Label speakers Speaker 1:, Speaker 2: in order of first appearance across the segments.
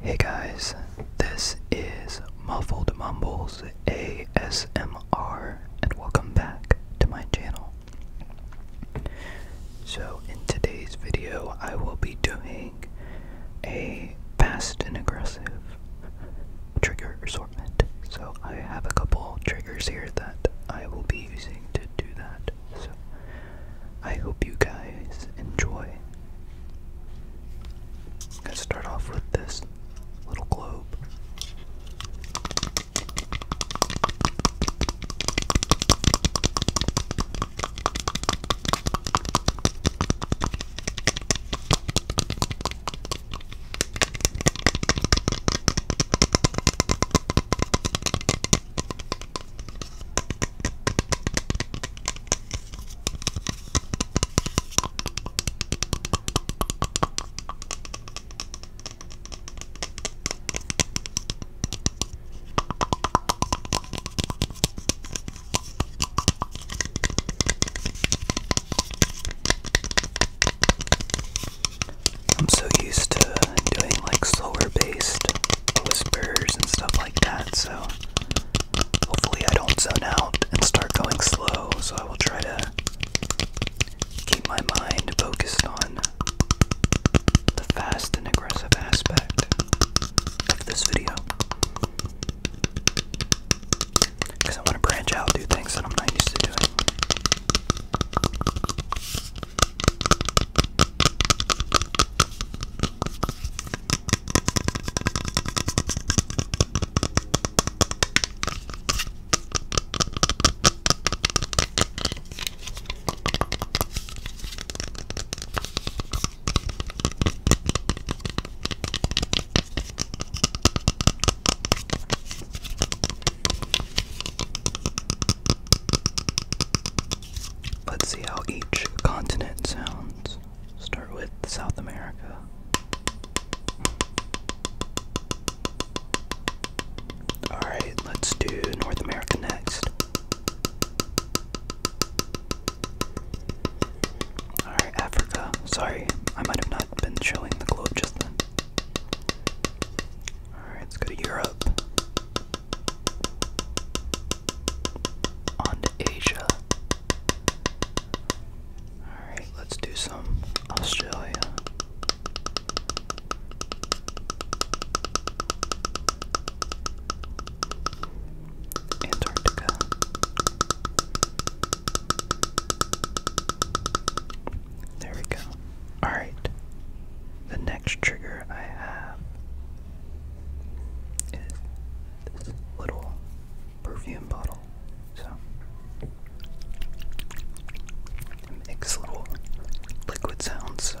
Speaker 1: Hey guys, this is Muffled Mumbles ASMR, and welcome back to my channel. So, in today's video, I will be doing a fast and aggressive trigger assortment. So, I have a couple triggers here that I will be using to do that. So, I hope you guys enjoy. I'm gonna start off with this little globe. I'm so used to doing like slower based whispers and stuff like that. So hopefully I don't zone out and start going slow. So I will try to keep my mind focused on the fast and aggressive aspect of this video. Because I want to branch out, do things that I'm not used to doing. Let's see how each continent sounds. Start with South America. Alright, let's do North America next. Alright, Africa. Sorry, I might have not been showing the globe just then. Alright, let's go to Europe on Asia. Alright, let's do some Australia. Antarctica. There we go. Alright. The next trigger I have is this little perfume bottle. So it makes little liquid sounds. So.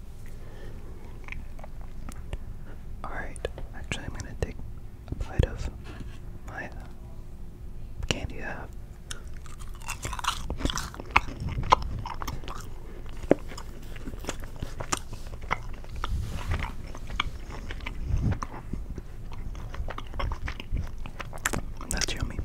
Speaker 1: Alright, actually, I'm gonna take a bite of my uh, candy That's yummy.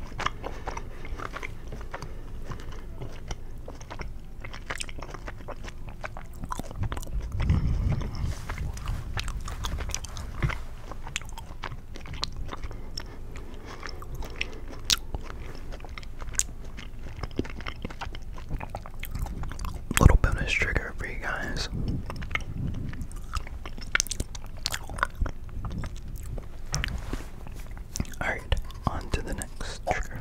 Speaker 1: Little bonus trigger for you guys. Alright, on to the next trigger.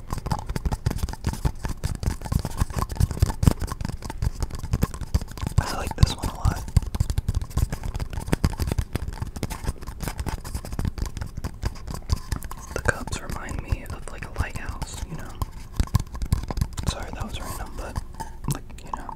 Speaker 1: I like this one a lot. The cups remind me of like a lighthouse, you know. Sorry, that was random, but like, you know.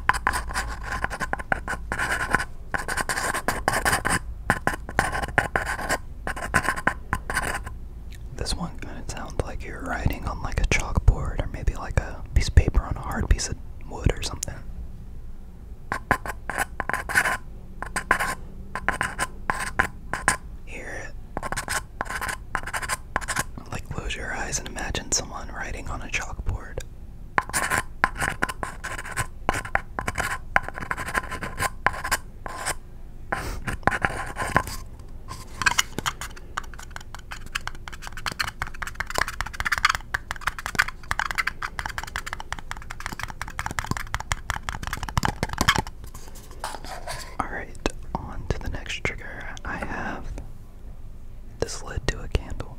Speaker 1: This one kind of sounds like you're writing on like a chalkboard or maybe like a piece of paper on a hard piece of wood or something. Hear it. Like, close your eyes and imagine someone writing on a chalkboard. All right, on to the next trigger. I have this led to a candle.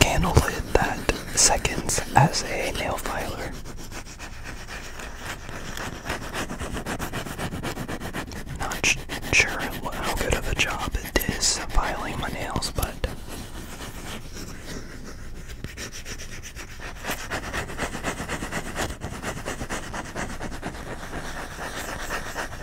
Speaker 1: candlelit that seconds as a nail filer. Not sure how good of a job it is filing my nails, but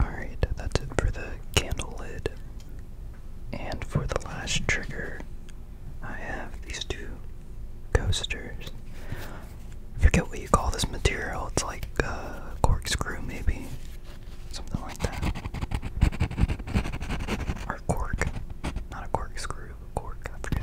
Speaker 1: Alright, that's it for the candle lid. And for the last trigger, I have these two coasters. forget what you call this material. It's like a corkscrew, maybe. Something like that. Or cork. Not a corkscrew, a cork. I forget.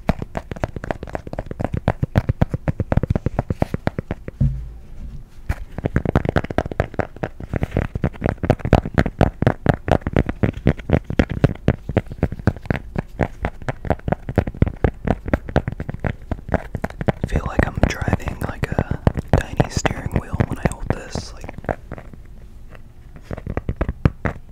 Speaker 1: I feel like I'm driving like a tiny steering wheel when I hold this,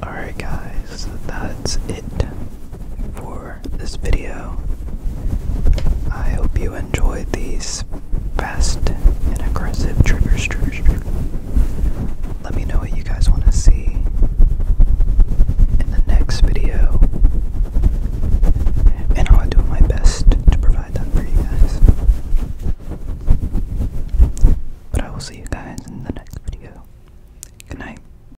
Speaker 1: Alright, guys, that's it for this video. I hope you enjoyed these fast and aggressive triggers, triggers, Let me know what you guys want to see in the next video, and I'll do my best to provide that for you guys. But I will see you guys in the next video. Good night.